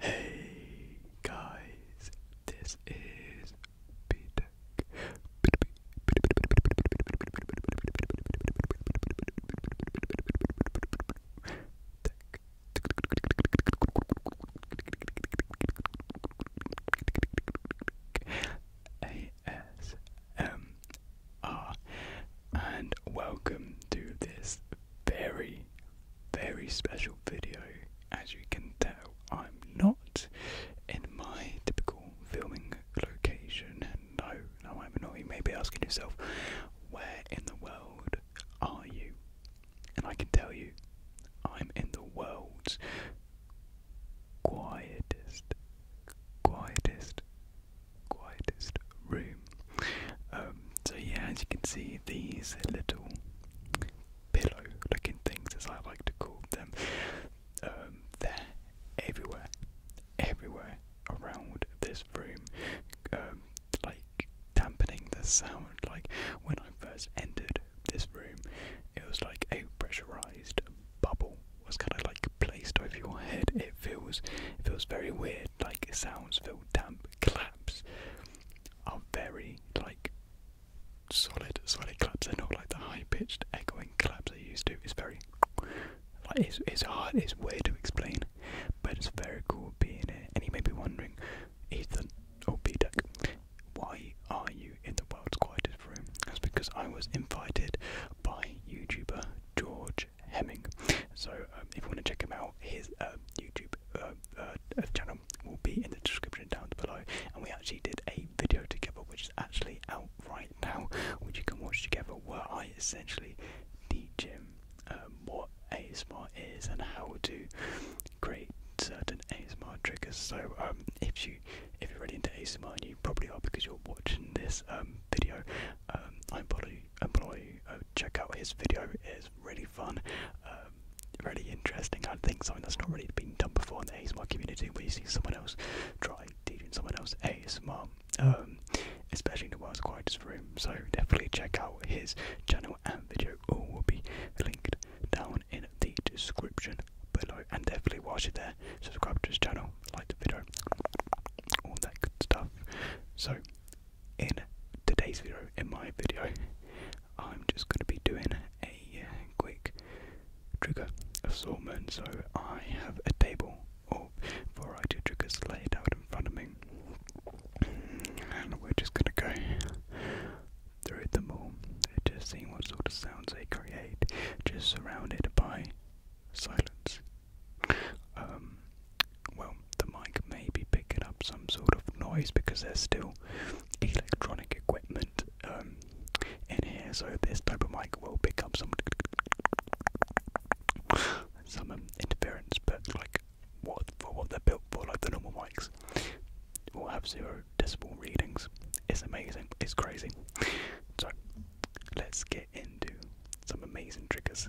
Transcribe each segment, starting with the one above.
Hey guys, this is Peter. ASMR and welcome to this very, very special video. As you can tell, I'm not in my typical filming location. No, no, I'm not. You may be asking yourself, where in the world are you? And I can tell you, I'm in the world's quietest, quietest, quietest room um, so yeah, as you can see, these little pillow-looking things, as I like to call them, um, they're everywhere, everywhere around this room, um, like dampening the sound. Like when I first entered this room, it was like a pressurized bubble was kind of like placed over your head. It feels, it feels very weird. Like sounds feel damp, claps are very like solid, solid claps. They're not like the high-pitched echoing claps they used to. It's very like it's it's hard. It's weird to explain, but it's very cool being here. And you may be wondering, Ethan or B Deck, why are you in the world's quietest room? That's because I was invited by YouTuber George Hemming. So um, if you want to check him out his um, YouTube um, uh, uh, channel will be in the description down below. And we actually did a video together, which is actually out right now, which you can watch together, where I essentially teach him um, what ASMR is and how to create certain ASMR triggers. So um, if you if you're really into ASMR, and you probably are because you're watching this video, I'm probably employee, uh, check out his video. It's really fun, um, really interesting. I think something that's not really been done before in the ASMR community, We see someone else try teaching someone else ASMR, um, especially in the world's quietest room. So definitely check out his channel and video. All will be linked down in the description below, and definitely watch it there. Subscribe to his channel, like the video, all that good stuff. So in today's video, in my video, I'm just going to be doing a uh, quick trigger assortment. So I have a table of variety of triggers laid out in front of me, and we're just going to go through them all, just seeing what sort of sounds they create, just surrounded by silence. Um, well, the mic may be picking up some sort of noise because there's still electronic equipment um, in here, so this type of mic will pick up some some um, interference. But like, what for what they're built for, like the normal mics, will have zero decibel readings. It's amazing. It's crazy. So let's get into some amazing triggers.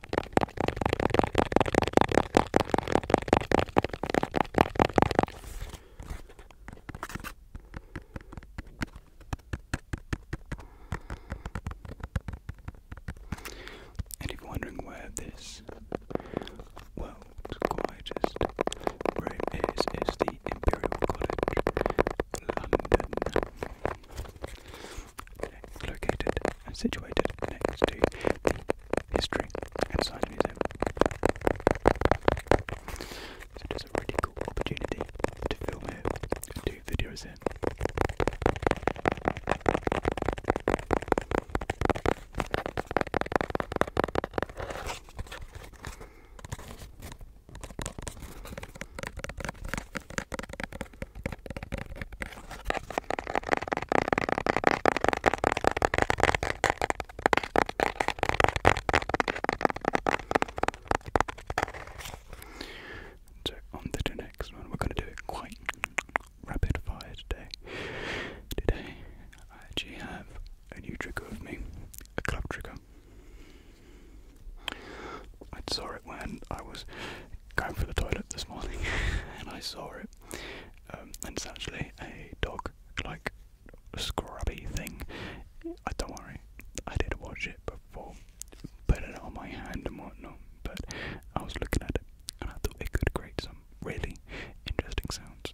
And you're wondering where this, well, quietest room is, is the Imperial College, London located and situated next to the History and Science Museum. it is a really cool opportunity to film here and do videos here. So on the next one, we're going to do it quite rapid fire today. Today I actually have a new trigger with me, a club trigger. I saw it when I was going for the toilet this morning and I saw it. Um, and it's actually a dog like scrubby thing. I don't worry, I did watch it before, put it on my hand and whatnot, but I was looking at it and I thought it could create some really interesting sounds.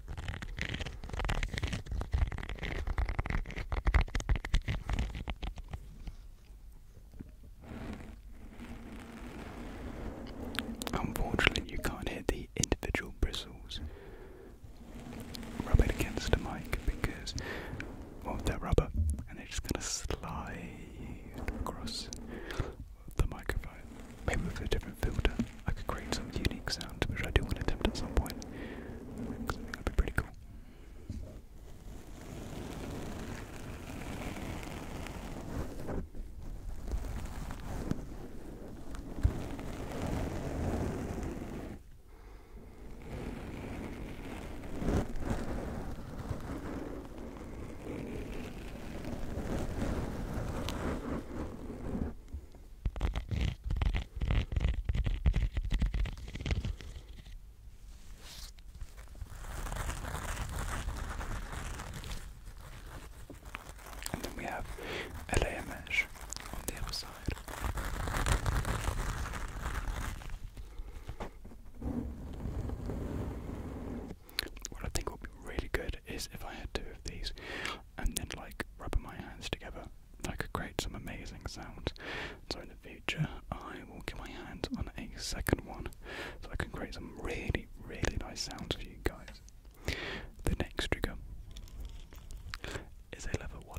Unfortunately, you can't hit the individual bristles rubbing against the mic because of that rubber, and it's just gonna slide across the microphone. Maybe with a different filter. I could create some unique sounds, which I do want to attempt at some point. Because I think be pretty cool. And then we have LA on the other side. What I think would be really good is if I had two of these and then like rubbing my hands together I could create some amazing sounds. So in the future, I will get my hands on a second one, so I can create some really, really nice sounds for you guys. The next trigger is a leather wallet.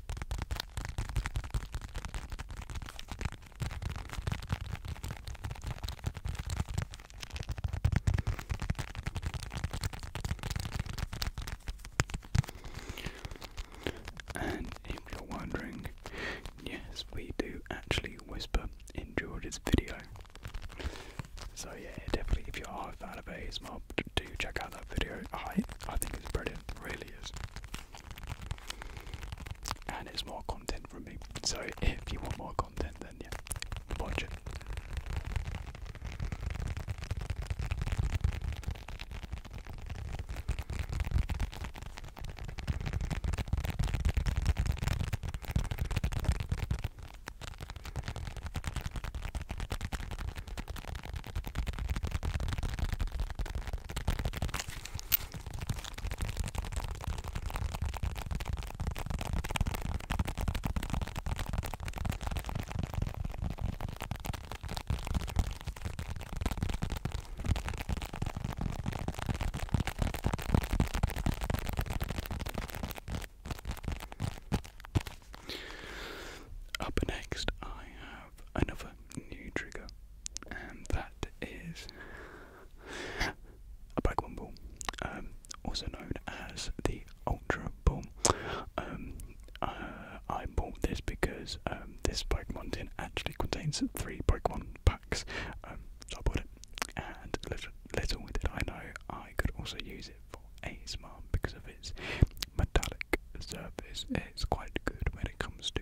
And if you're wondering, yes, we do actually whisper in George's video. So yeah, definitely if you are a fan of ASMR, do check out that video. I I think it's brilliant, really is and it's more content from me. So if you want more content, then yeah, watch it. Up next, I another new trigger, and that is a black one ball, um, also known as the Ultra Ball. Um, uh, I bought this because um, this Pokemon tin actually contains three Pokemon packs, um, I bought it. And little, did I know I could also use it for ASMR because of its metallic surface. It's quite good when it comes to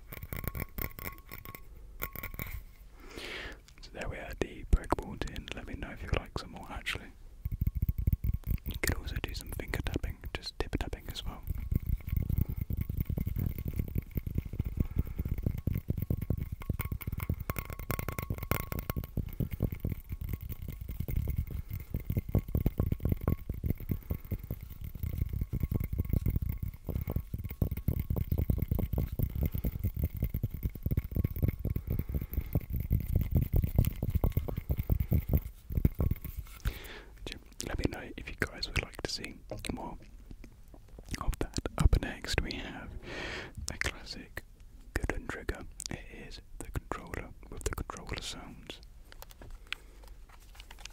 So there we are, the breakable tin. Let me know if you like some more actually. You could also do some finger tapping, just tip tapping as well. Let me know if you guys would like to see more of that. Up next, we have the classic Golden trigger. It is the controller with the controller sounds.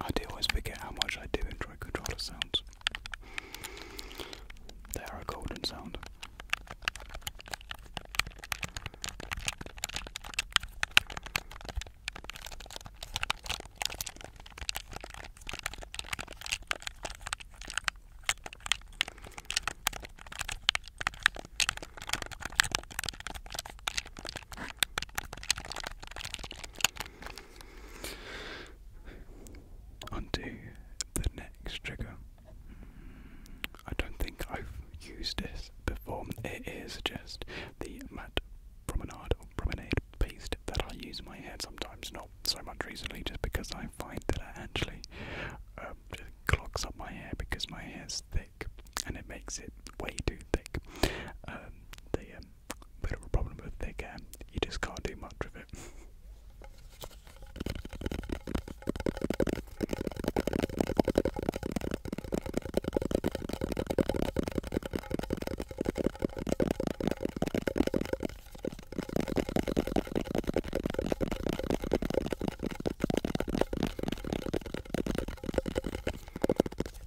I do always forget how much I do enjoy controller sounds. They are a golden sound. Undo the next trigger. Mm, I don't think I've used this before. It is just the matte promenade or promenade paste that I use in my hair sometimes, not so much recently, just because I find that it actually um, clogs up my hair because my hair is thick and it makes it way too thick. Um, the um, bit of a problem with thick hair. You just can't do much with it.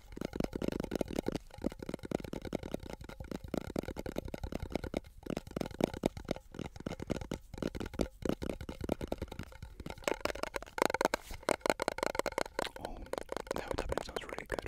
Oh, that would have been sounds really good.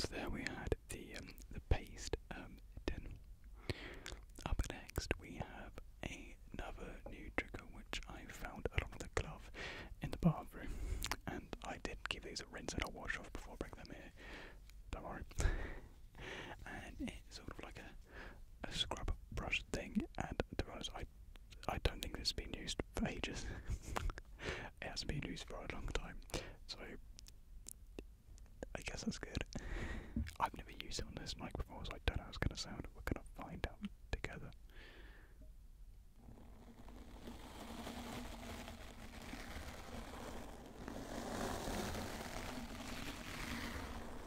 So there we had the um, the paste um, Up next we have another new trigger which I found along with a glove in the bathroom, and I did give these a rinse and a wash off before bringing them here. Don't worry. and it's sort of like a a scrub brush thing, and to be honest, I I don't think this has been used for ages. it hasn't been used for a long time, so I guess that's good. I've never used it on this mic before, so I don't know how it's going to sound. We're going to find out together.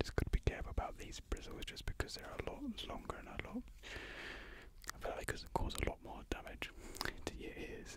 Just gotta be careful about these bristles just because they're a lot longer and a lot I feel like it cause a lot more damage to your ears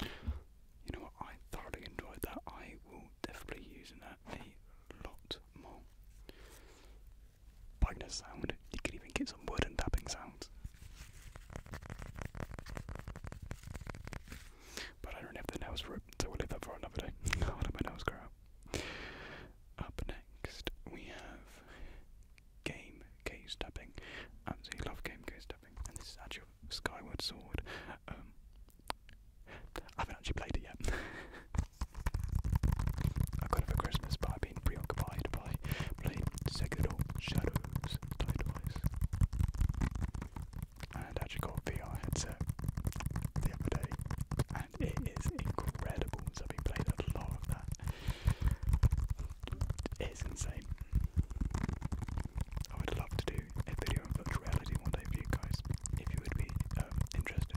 You know what? I thoroughly enjoyed that. I will definitely use that a lot more. Bugner sound. You can even get some wooden tapping sounds. But I don't have the nails ripped, so we'll leave that for another day. let my nails grow Up next, we have game case tapping. Absolutely love game case tapping. And this is actually Skyward Sword. Um, I haven't actually played it yet. I got it for Christmas, but I've been preoccupied by playing Sekiro Shadows And actually got a VR headset the other day, and it is incredible. So I've been playing a lot of that. It's insane. I would love to do a video on reality one day for you guys, if you would be um, interested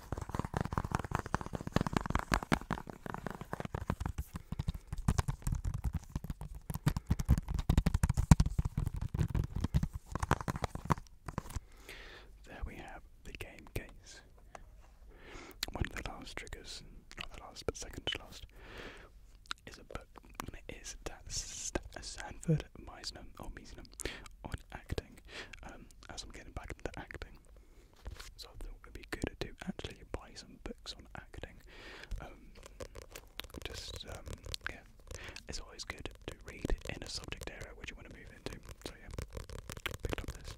There we have the game case. One of the last triggers, not the last, but second to last, is a book, and it is that Sanford Meisner or Meisner on acting. Um, as I'm getting back into acting, so I thought it would be good to actually buy some books on acting. Um, just, um, yeah, it's always good to read in a subject area which you want to move into. So yeah, picked up this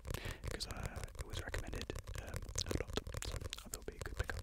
because uh, it was recommended um, a lot, so I thought it would be a good pickup.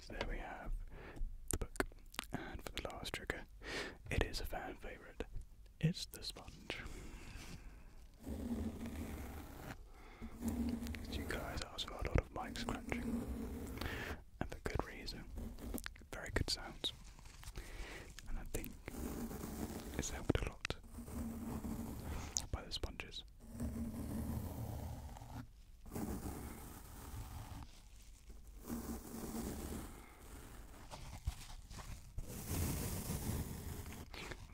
So there we have the book. And for the last trigger, it is a fan favourite. It's the sponge. You guys asked for a lot of mic scratching, and for good reason. Very good sounds, and I think it's helped a lot by the sponges.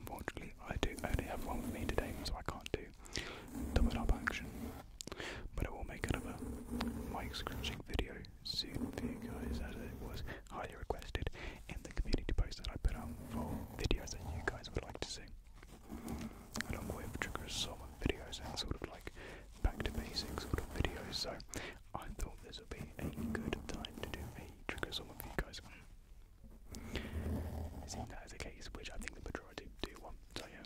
Unfortunately, I do only have one with me today, so I can't do double up action. But I will make another mic scratching video soon for you guys, as it was highly requested in the community post that I put out for videos that you guys would like to see along with triggers some videos and sort of like back to basics sort of videos. So I thought this would be a good time to do a trigger some of you guys. It seems that is the case, which I think the majority do want. So yeah.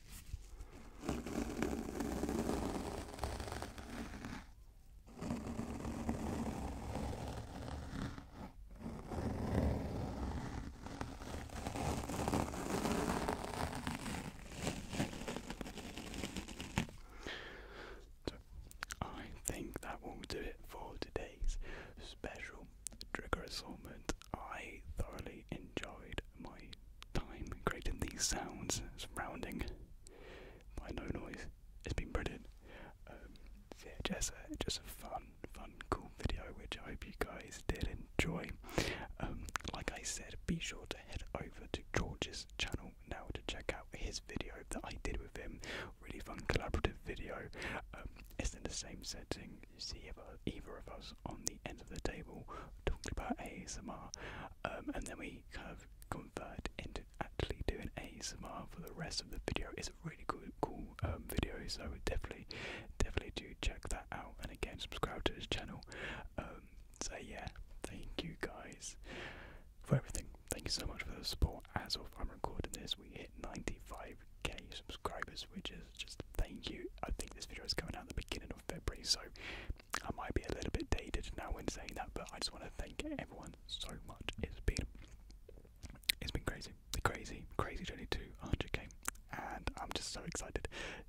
So, I think that will do it for today's special trigger assortment. I thoroughly enjoyed my time creating these sounds surrounding by no noise has been brilliant. Um, yeah, just a, just a fun, fun, cool video which I hope you guys did enjoy. Um, like I said, be sure to head over to George's channel now to check out his video that I did with him. Really fun collaborative video. Um, it's in the same setting. You see either, either of us on the end of the table talking about ASMR. Um, and then we kind of convert into actually doing a ASMR for the rest of the video. It's a really cool, cool um, video, so definitely, definitely do check that out. And again, subscribe to this channel. Um, so yeah, thank you guys for everything. Thank you so much for the support. As of I'm recording this, we hit 95k subscribers, which is just thank you. I think this video is coming out the beginning of February, so I might be a little bit dated now when saying that, but I just want to thank everyone so much. It's been it's been crazy, crazy, crazy journey to 100k, and I'm just so excited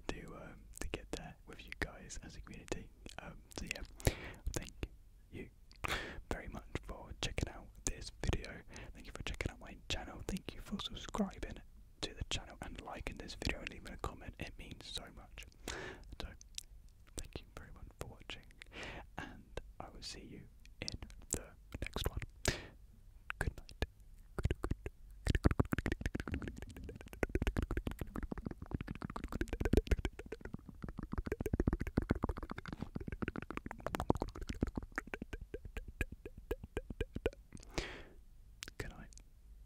to um, to get there with you guys as a community. Um, so yeah, thank you very much for checking out this video. Thank you for checking out my channel. Thank you for subscribing to the channel and liking this video and leaving a comment. It means so much. So, thank you very much for watching, and I will see you in the next one. Good night.